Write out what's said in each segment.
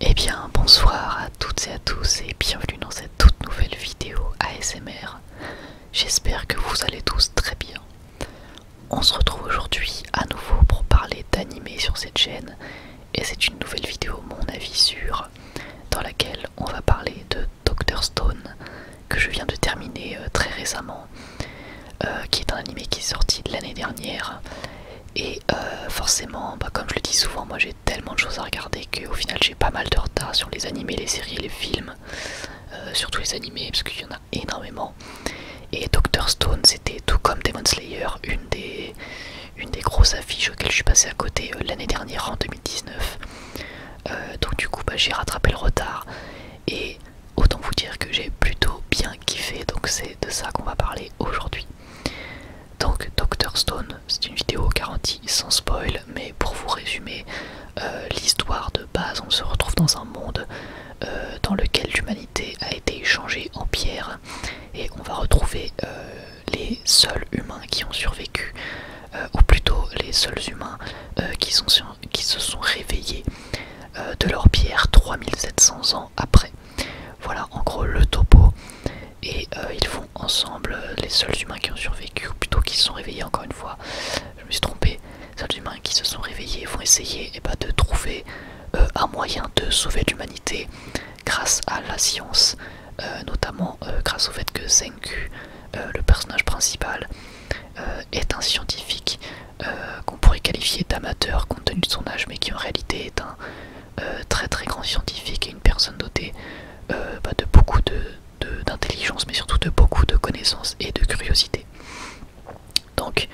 Et eh bien, bonsoir à toutes et à tous et bienvenue dans cette toute nouvelle vidéo ASMR. J'espère que vous allez tous très bien. On se retrouve aujourd'hui à nouveau pour parler d'animé sur cette chaîne et c'est une nouvelle vidéo, mon avis sur dans laquelle on va parler de Doctor Stone que je viens de terminer euh, très récemment, euh, qui est un animé qui est sorti l'année dernière. Et euh, forcément, bah, comme je le dis souvent, moi j'ai tellement de choses à regarder qu'au final j'ai pas mal de retard sur les animés, les séries, les films, surtout les animés parce qu'il y en a énormément. Et Doctor Stone, c'était tout comme Demon Slayer, une des une des grosses affiches auxquelles je suis passé à côté euh, l'année dernière en 2019. Euh, donc du coup bah, j'ai rattrapé le retard et autant vous dire que j'ai plutôt bien kiffé donc c'est de ça qu'on va parler aujourd'hui. Donc Dr Stone, c'est une vidéo garantie sans spoil mais pour vous résumer euh, l'histoire de base on se retrouve dans un monde dans lequel l'humanité a été changée en pierre et on va retrouver euh, les seuls humains qui ont survécu, euh, ou plutôt les seuls humains euh, qui, sont qui se sont réveillés de leur pierre 3700 ans après. Voilà en gros le topo. Et ils font ensemble les seuls humains qui ont survécu, ou plutôt qui se sont réveillés encore une fois. Je me suis trompé. Les seuls humains qui se sont réveillés vont essayer et eh ben, de trouver un moyen de sauver l'humanité grâce à la science, euh, notamment euh, grâce au fait que Zenku, euh, le personnage principal, est un scientifique qu'on pourrait qualifier d'amateur compte tenu de son âge, mais qui en réalité est un très très grand scientifique et une personne dotée bah, de beaucoup d'intelligence, mais surtout de beaucoup de connaissances et de curiosité. Donc,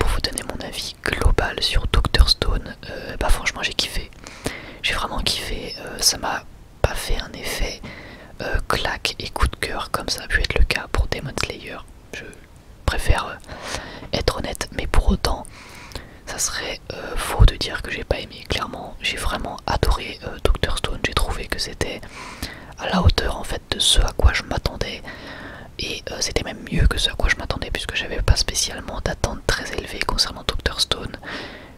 pour vous donner mon avis global sur Dr Stone, bah, franchement j'ai kiffé. J'ai vraiment kiffé. Euh, ça m'a pas fait un effet euh, claque et coup de cœur comme ça a pu être le cas pour Demon Slayer. Je préfère euh, être honnête, mais pour autant, ça serait faux de dire que j'ai pas aimé. Clairement, j'ai vraiment adoré Doctor Stone. J'ai trouvé que c'était à la hauteur en fait de ce à quoi je m'attendais et c'était même mieux que ce à quoi je m'attendais puisque j'avais pas spécialement d'attentes très élevées concernant Dr Stone.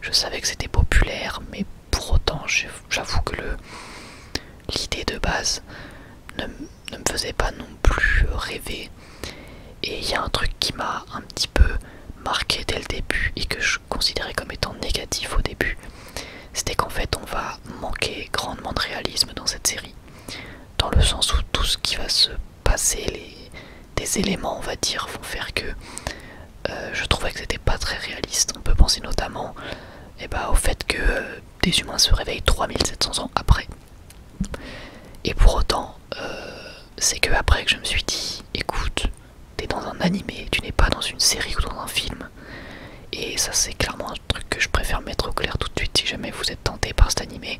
Je savais que c'était populaire, mais pour autant, j'avoue que l'idée de base ne, ne me faisait pas non plus rêver. Et il y a un truc qui m'a un petit peu marqué dès le début et que je considérais comme étant négatif au début, c'était qu'en fait on va manquer grandement de réalisme dans cette série, dans le sens où tout ce qui va se passer les, des éléments, on va dire, vont faire que euh, je trouvais que c'était pas très réaliste. On peut penser notamment eh ben, au fait que euh, des humains se réveillent 3700 ans après. Et pour autant, euh, c'est que après que je me suis dit, écoute, t'es dans un animé, tu n'es pas dans une série ou dans un film. Et ça c'est clairement un truc que je préfère mettre au clair tout de suite si jamais vous êtes tenté par cet animé.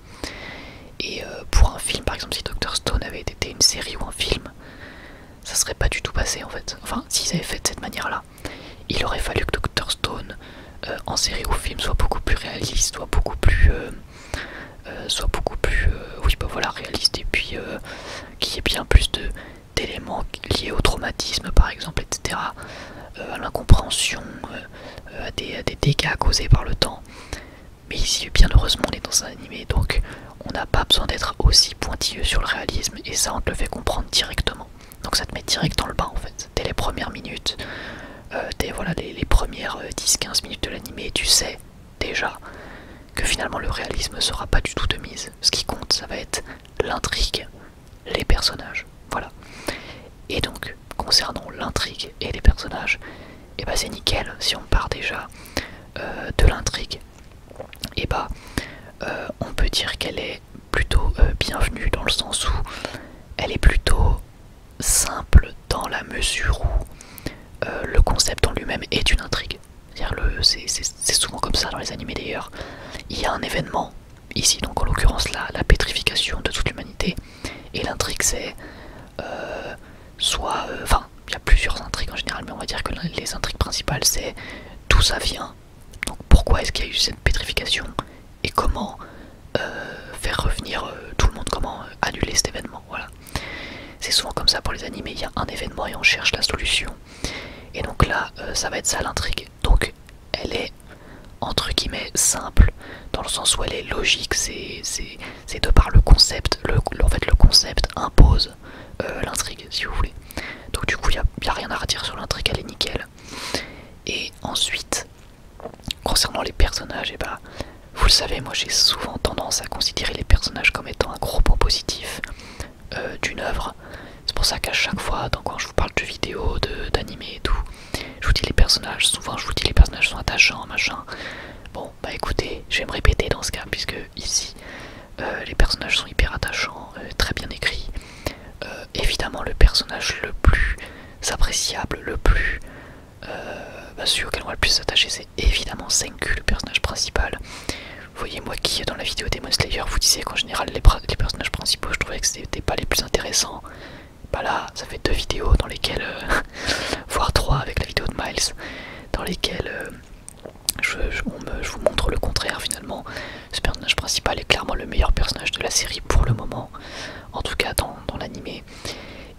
et euh, pour un film, par exemple, si Dr Stone avait été une série ou un film, ça serait pas du tout passé en fait. Enfin, s'ils avaient fait de cette manière-là, il aurait fallu que Dr Stone euh, en série ou film soit beaucoup plus réaliste, soit beaucoup plus, euh, soit beaucoup plus, oui, bah voilà, réaliste et puis qu'il y ait bien plus de d'éléments liés au traumatisme, par exemple, etc., à l'incompréhension, euh, des, dégâts causés par le temps. Mais ici, bien heureusement, on est dans un animé, donc on n'a pas besoin d'être aussi pointilleux sur le réalisme, et ça, on te le fait comprendre directement. Donc ça te met direct dans le bain, en fait. Dès les premières minutes, euh, voilà, les, premières 10-15 euh, minutes de l'animé, tu sais déjà que finalement le réalisme sera pas du tout de mise. Ce qui compte, ça va être l'intrigue, les personnages. Voilà. Et donc, concernant l'intrigue et les personnages, et eh bah ben, c'est nickel si on part déjà euh, de l'intrigue. Et eh bah, ben, euh, on peut dire qu'elle est plutôt euh, bienvenue dans le sens où elle est plutôt simple dans la mesure où le concept en lui-même est une intrigue. C'est souvent comme ça dans les animés d'ailleurs. Il y a un événement ici donc en l'occurrence là la pétrification de toute l'humanité et l'intrigue c'est euh, soit euh, enfin il y a plusieurs intrigues en général mais on va dire que les intrigues principales c'est d'où ça vient donc pourquoi est-ce qu'il y a eu cette pétrification et comment euh, faire revenir tout le monde comment annuler cet événement voilà c'est souvent comme ça pour les animés il y a un événement et on cherche la solution et donc là ça va être ça l'intrigue donc elle est entre guillemets simple dans le sens où elle est logique, c'est de par le concept, le, en fait le concept impose euh, l'intrigue si vous voulez. Donc du coup il n'y a, rien à redire sur l'intrigue, elle est nickel. Et ensuite, concernant les personnages, et eh ben, vous le savez, moi j'ai souvent tendance à considérer les personnages comme étant un gros point positif euh, d'une œuvre, c'est pour ça qu'à chaque fois, donc quand je vous parle de vidéos, vidéo, et tout, je vous dis les personnages, souvent je vous dis les personnages sont attachants, machin. Bon, bah écoutez, je vais me répéter dans ce cas, puisque ici, euh, les personnages sont hyper attachants, euh, très bien écrits. Euh, évidemment, le personnage le plus appréciable, le plus... bah, celui auquel on va le plus s'attacher, c'est évidemment Senku, le personnage principal. voyez, moi qui, dans la vidéo Demon Slayer, vous disais qu'en général, les, les personnages principaux, je trouvais que c'était pas les plus intéressants. Bah là, ça fait deux vidéos dans lesquelles, euh, voire trois avec la vidéo de Miles, dans lesquelles euh, je, je, vous montre le contraire finalement. Ce personnage principal est clairement le meilleur personnage de la série pour le moment, en tout cas dans, dans l'animé.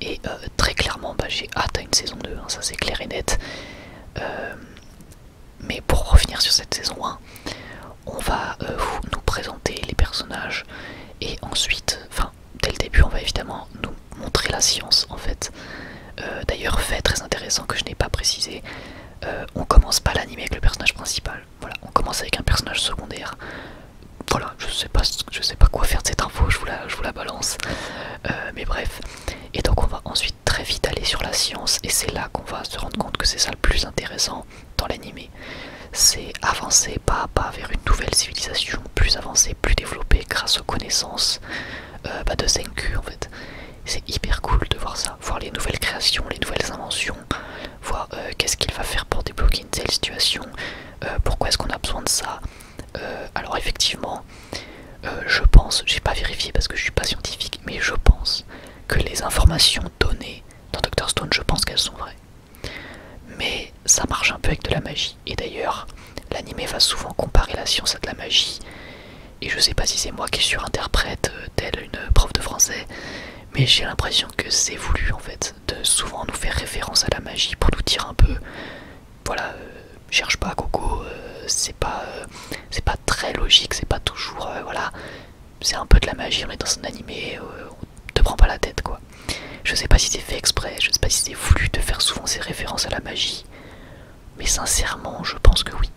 Et euh, très clairement, bah, j'ai hâte à une saison 2, hein, ça c'est clair et net. Mais pour revenir sur cette saison 1, on va euh, nous présenter les personnages et ensuite, enfin dès le début, on va évidemment nous montrer la science en fait. Euh, d'ailleurs, fait très intéressant que je n'ai pas précisé, euh, on commence pas l'anime avec le personnage principal. Voilà, on commence avec un personnage secondaire. Voilà, je sais pas, je sais pas quoi faire de cette info, je vous la, je vous la balance. mais bref, et donc on va ensuite très vite aller sur la science et c'est là on va se rendre compte que c'est ça le plus intéressant dans l'animé. C'est avancer pas à pas vers une nouvelle civilisation plus avancée, plus développée grâce aux connaissances euh, bah, de Senku en fait. C'est hyper cool de voir ça, voir les nouvelles créations, les nouvelles inventions, voir euh, qu'est-ce qu'il va faire pour débloquer une telle situation, euh, pourquoi est-ce qu'on a besoin de ça. alors effectivement, je pense, j'ai pas vérifié parce que je suis pas scientifique, mais je pense que les informations données dans Dr Stone, je pense qu'elles sont vraies. Mais ça marche un peu avec de la magie. Et d'ailleurs, l'anime va souvent comparer la science à de la magie. Et je sais pas si c'est moi qui surinterprète euh, telle une prof de français, mais j'ai l'impression que c'est voulu en fait, de souvent nous faire référence à la magie pour nous dire un peu, voilà, euh, cherche pas Coco, euh, c'est pas euh, c'est pas très logique, c'est pas toujours euh, voilà, c'est un peu de la magie, on est dans un animé, euh, on te prend pas la tête quoi. Je sais pas si c'est fait exprès, je sais pas si c'est voulu de faire souvent ces références à la magie, mais sincèrement, je pense que oui.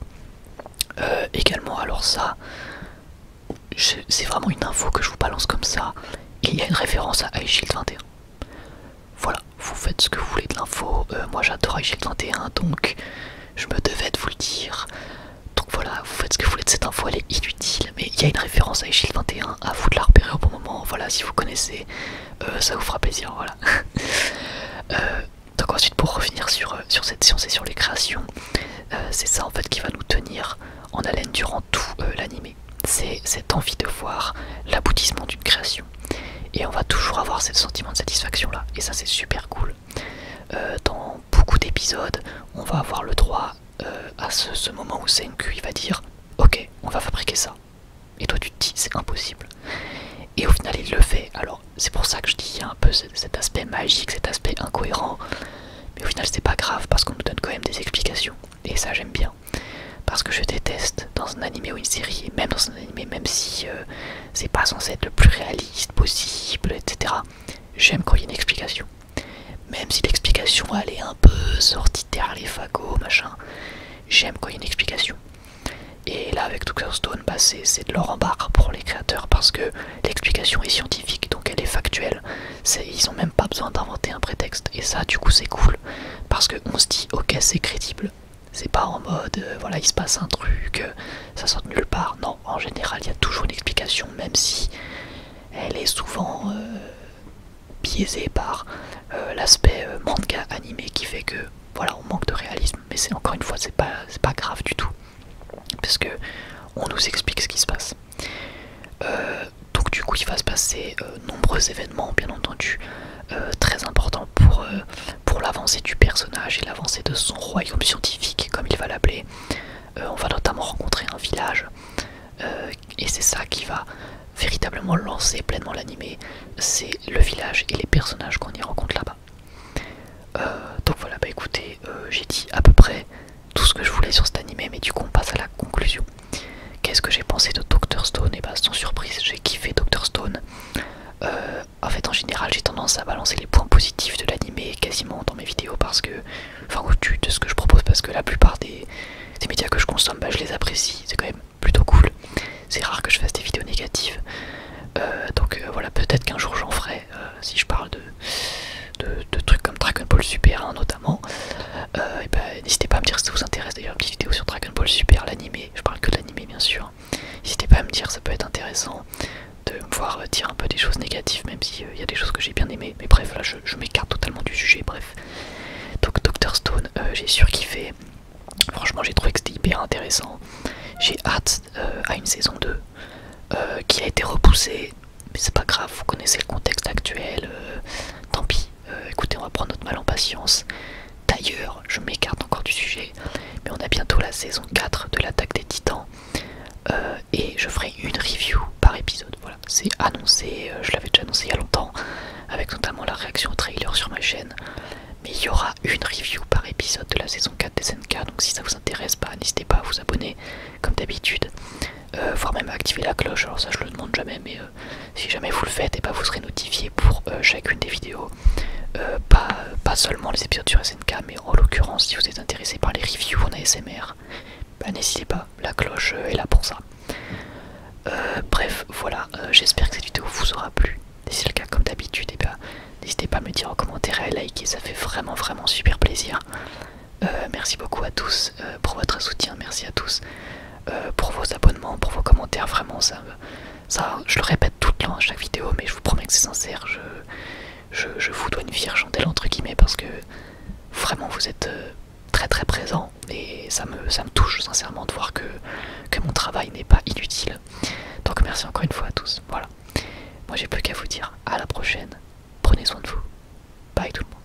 également, alors ça, c'est vraiment une info que je vous balance comme ça. Il y a une référence à shield 21. Voilà, vous faites ce que vous voulez de l'info. moi j'adore iShield 21, donc je me devais de vous le dire. Donc voilà, vous faites ce que vous voulez de cette info, elle est inutile, mais il y a une référence à Shield 21, à vous de la repérer au bon moment, voilà, si vous connaissez, euh, ça vous fera plaisir, voilà. Euh, donc ensuite, pour revenir euh, sur, cette science et sur les créations, c'est ça en fait qui va nous tenir en haleine durant tout l'animé. C'est cette envie de voir l'aboutissement d'une création et on va toujours avoir ce sentiment de satisfaction là, et ça c'est super cool. Euh, dans beaucoup d'épisodes, on va avoir le droit euh, à ce, moment où Senku il va dire Ok, on va fabriquer ça. Et toi tu te dis c'est impossible. Et au final il le fait. Alors c'est pour ça que je dis il y a un peu cet aspect magique, cet aspect incohérent. Mais au final c'est pas grave parce qu'on nous donne quand même des explications. Et ça j'aime bien. Parce que je déteste dans un anime ou une série, et même dans un anime même si euh, c'est pas censé être le plus réaliste possible, etc. J'aime quand il y a une explication. Même si l'explication elle est un peu sortie derrière les fagots, machin, j'aime quand il y a une explication. Et là, avec Tucker Stone, bah, c'est de l'or en barre pour les créateurs parce que l'explication est scientifique, donc elle est factuelle. ils n'ont même pas besoin d'inventer un prétexte. Et ça, du coup, c'est cool parce qu'on se dit, ok, c'est crédible, c'est pas en mode, euh, voilà, il se passe un truc, euh, ça sort de nulle part. Non, en général, il y a toujours une explication, même si elle est souvent euh, biaisée par l'aspect manga animé qui fait que, voilà, on manque de réalisme. Mais c'est encore une fois, c'est pas, pas grave du tout, parce que on nous explique ce qui se passe. donc du coup, il va se passer nombreux événements bien entendu euh, très importants pour, euh, pour l'avancée du personnage et l'avancée de son royaume scientifique comme il va l'appeler. Euh, on va notamment rencontrer un village et c'est ça qui va véritablement lancer pleinement l'animé, c'est le village et les personnages qu'on y rencontre là-bas. donc voilà, bah écoutez, j'ai dit à peu près tout ce que je voulais sur cet animé, mais du coup on passe à la conclusion. Qu'est-ce que j'ai pensé de Dr Stone Et eh bah ben, sans surprise, j'ai kiffé Dr Stone. Euh, en fait, en général, j'ai tendance à balancer les points positifs de l'animé quasiment dans mes vidéos parce que, enfin, au-dessus de ce que je propose, parce que la plupart des, médias que je consomme, bah, je les apprécie. C'est quand même plutôt cool. C'est rare que je fasse des vidéos négatives. Euh, donc euh, voilà, peut-être qu'un jour j'en ferai si je parle de, de, trucs comme Dragon Ball Super hein, notamment. Ben, n'hésitez pas à me dire si ça vous intéresse d'ailleurs une petite vidéo sur Dragon Ball Super, je parle que de l'animé bien sûr. N'hésitez pas à me dire, ça peut être intéressant de voir euh, dire un peu des choses négatives, même s'il euh, il y a des choses que j'ai bien aimées. Mais bref, là je, m'écarte totalement du sujet, bref. Donc Dr Stone, euh, j'ai j'ai surkiffé. Franchement, j'ai trouvé que c'était hyper intéressant. J'ai hâte à une saison 2 qui a été repoussée, mais c'est pas grave, vous connaissez le contexte actuel. tant pis, euh, écoutez, on va prendre notre mal en patience. D'ailleurs, je m'écarte encore du sujet, mais on a bientôt la saison 4 de l'attaque des titans. Euh, et je ferai une review par épisode. Voilà, c'est annoncé, euh, je l'avais déjà annoncé il y a longtemps, avec notamment la réaction au trailer sur ma chaîne. Mais il y aura une review par épisode de la saison 4 des SNK, donc si ça vous intéresse, pas bah, n'hésitez pas à vous abonner comme d'habitude, voire même à activer la cloche. Alors ça, je le demande jamais, mais euh, si jamais vous le faites, et ben, vous serez notifié pour euh, chacune des vidéos. Euh, pas, seulement les épisodes sur SNK, mais en l'occurrence, si vous êtes intéressé par les reviews en ASMR, ben, n'hésitez pas, la cloche est là pour ça. bref, voilà, j'espère que cette vidéo vous aura plu. Si c'est le cas, comme d'habitude, ben, n'hésitez pas à me dire en commentaire et à liker, ça fait vraiment, vraiment super plaisir. merci beaucoup à tous euh, pour votre soutien, merci à tous euh, pour vos abonnements, pour vos commentaires, vraiment ça, je le répète tout le temps à chaque vidéo, mais je vous promets que c'est sincère, je, vous dois une vie chandelle entre guillemets parce que vraiment vous êtes euh, très très présents et ça me, touche sincèrement de voir que, que mon travail n'est pas inutile. Donc merci encore une fois à tous, voilà. Moi j'ai plus qu'à vous dire à la prochaine, prenez soin de vous, bye tout le monde.